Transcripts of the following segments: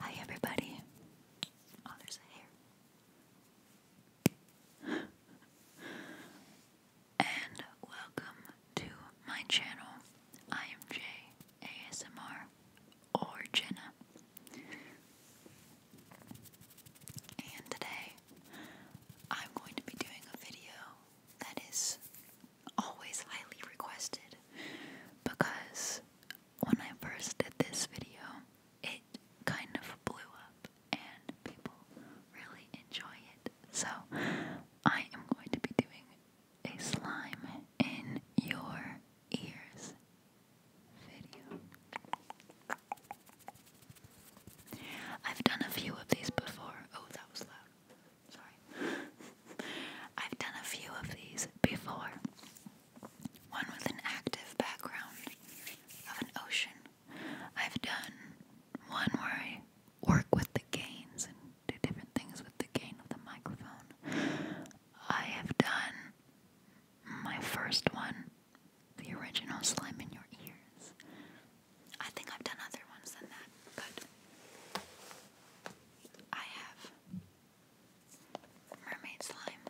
Hi, everybody. Oh, there's hair. and welcome to my channel. I am J ASMR or Jenna. And today I'm going to be doing a video that is always highly requested because when I first did this video, it kind of blew up and people really enjoy it. So I am going to be doing a slime in your ears video. I've done a few of these before. Oh, that was loud. Sorry. I've done a few of these before. One with an active background of an ocean. I've done one where I work with the gains and do different things with the gain of the microphone. I have done my first one, the original slime in your ears. I think I've done other ones than that, but I have mermaid slime.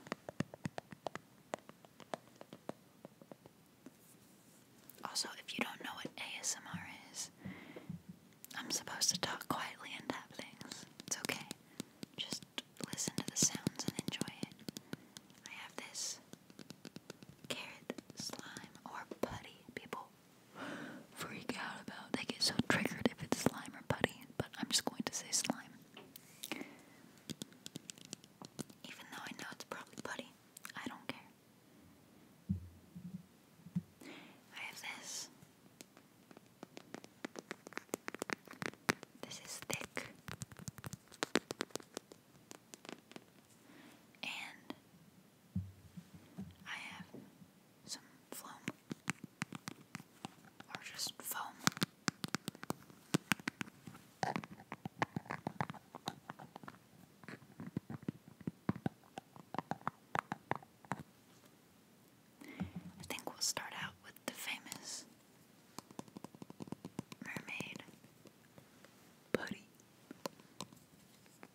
Also, if you don't know what ASMR is, I'm supposed to talk quietly and tap things. It's okay. Just listen to the sounds and enjoy it. I have this carrot slime or putty. People freak out about. They get so triggered if it's slime or putty, but I'm just going to say slime. Even though I know it's probably putty, I don't care. I have this. This is thick. And I have some foam or just foam. I think we'll start out with the famous mermaid putty.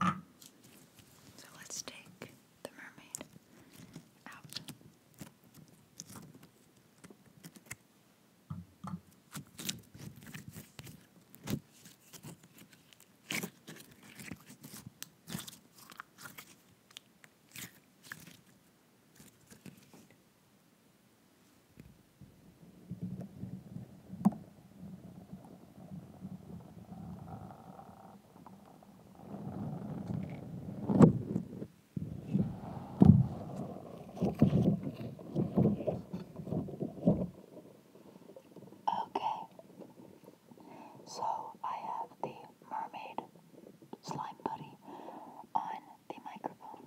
So let's take the mermaid out. Okay, so I have the mermaid slime buddy on the microphone.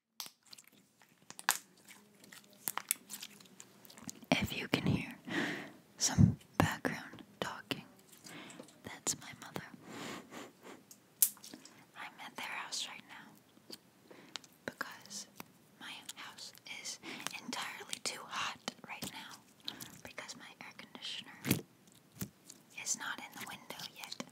If you can hear some background talking, that's my mother. I'm at their house right now because my house is entirely too hot right now because my air conditioner it's not in the window yet.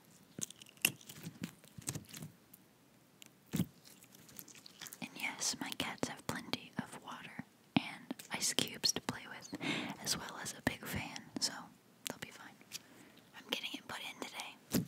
And yes, my cats have plenty of water and ice cubes to play with, as well as a big fan, so they'll be fine. I'm getting it put in today.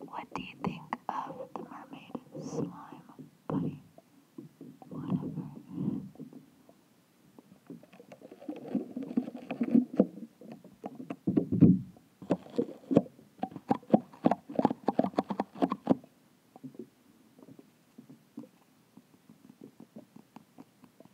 What do you think of the mermaid slime pudding? Whatever.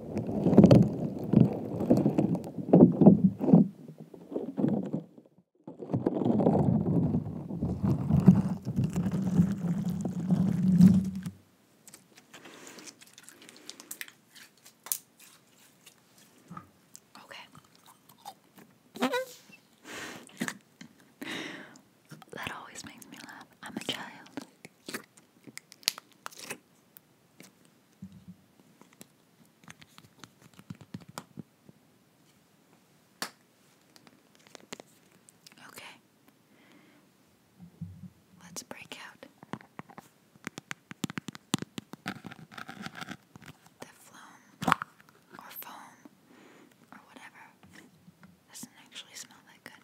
Okay. that always makes me laugh. I'm a child. Okay. Let's break out the phloem or foam or whatever. Doesn't actually smell that good.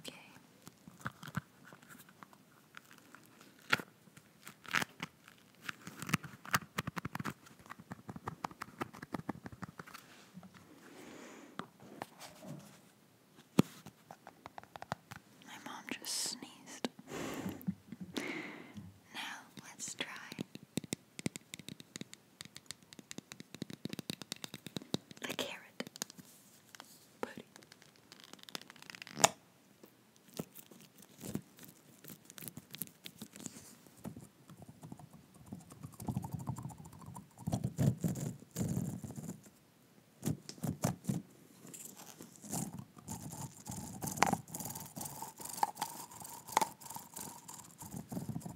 Okay. My mom just sneezed. now let's try the carrot. Buddy.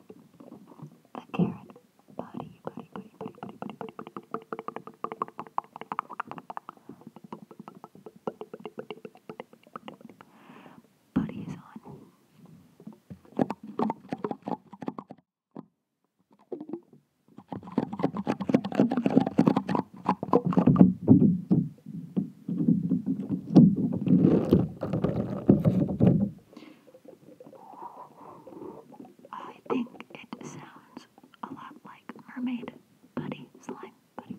a carrot body, body, body, body, body, body, body, body, body, body is on. I think it sounds a lot like mermaid buddy slime buddy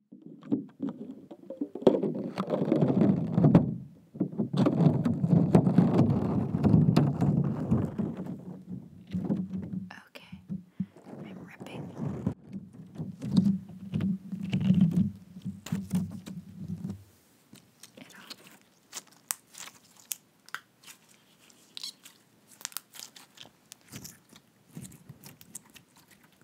Okay, I'm ripping. It off.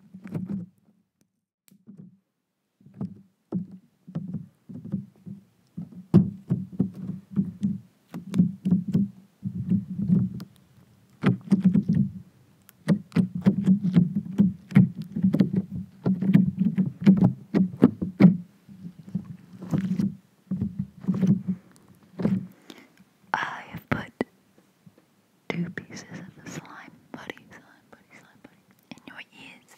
I have put two pieces of the slime, buddy, slime, buddy, slime, buddy, in your ears.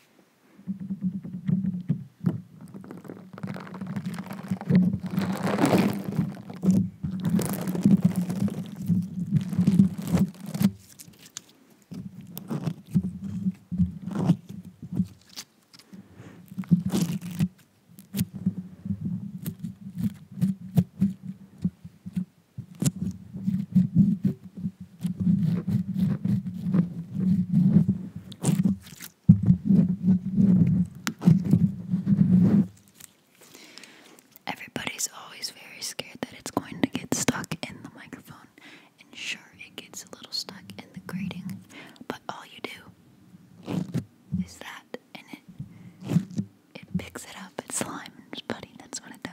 Everybody's always very scared that it's going to get stuck in the microphone, and sure, it gets a little stuck in the grating, but all you do is that, and it it picks it up. It's slime and putty. That's what it does.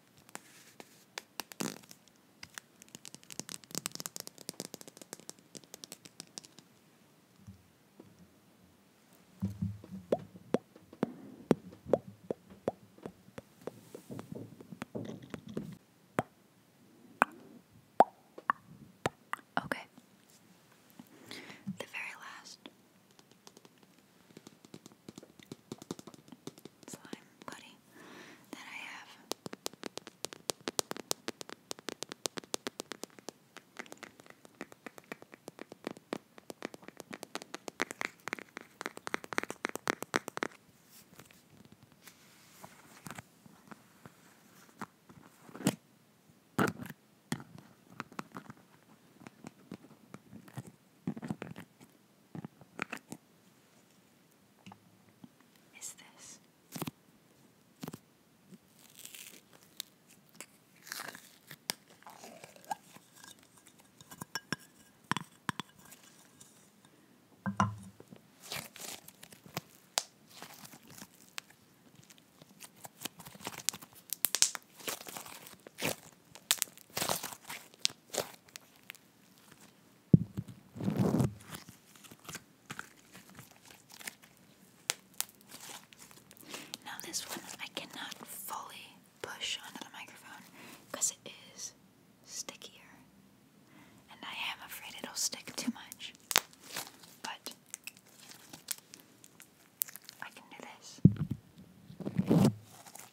Okay. The very last slime buddy that I have is this. Now, this one I cannot fully push onto the microphone because it is stickier, and I am afraid it'll stick too much. But I can do this.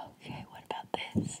Okay, what about this?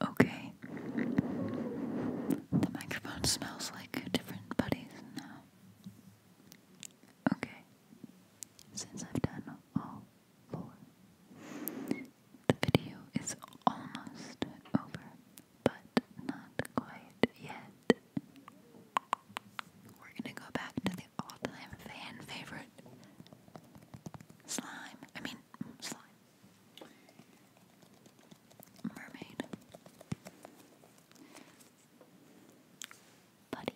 Okay. The microphone smells like different buddies now. Okay. Since I've done all four, the video is almost over, but not quite yet. We're gonna go back to the all-time fan favorite slime. I mean, slime. Mermaid. Buddy.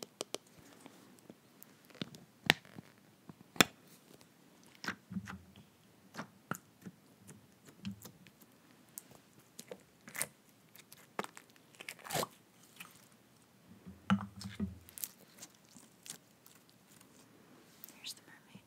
Here's the mermaid.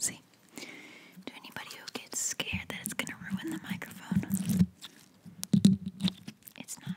See, to anybody who gets scared that it's going to ruin the microphone, it's not.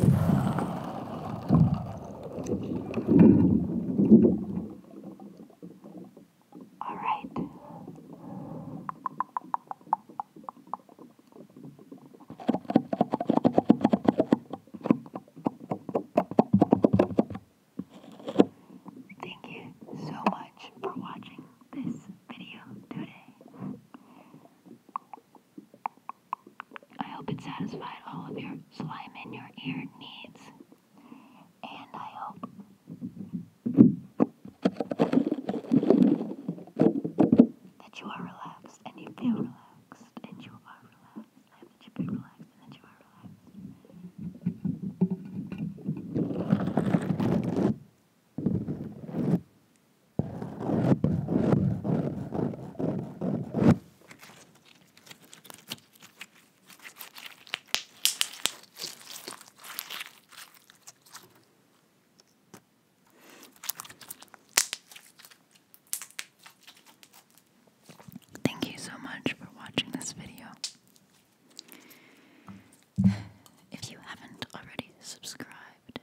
All right. Thank you so much for watching this video today. I hope it satisfied all of your slime in your ear needs. And I hope that you are relaxed and you feel relaxed and you are relaxed. I hope that you feel relaxed and that you are relaxed. Thank you so much for watching this video. If you haven't already subscribed,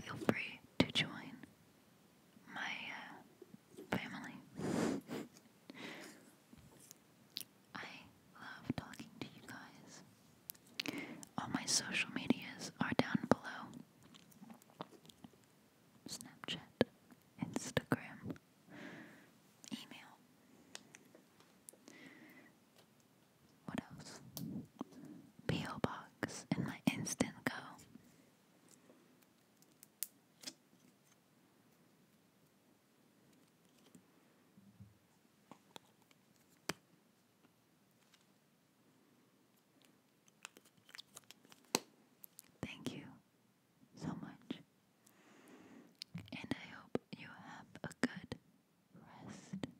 feel free to join my uh, family. I love talking to you guys. All my social medias are down below Snapchat, Instagram, email. What else? P.O. Box in my instant Thank you so much, and I hope you have a good rest. Good night.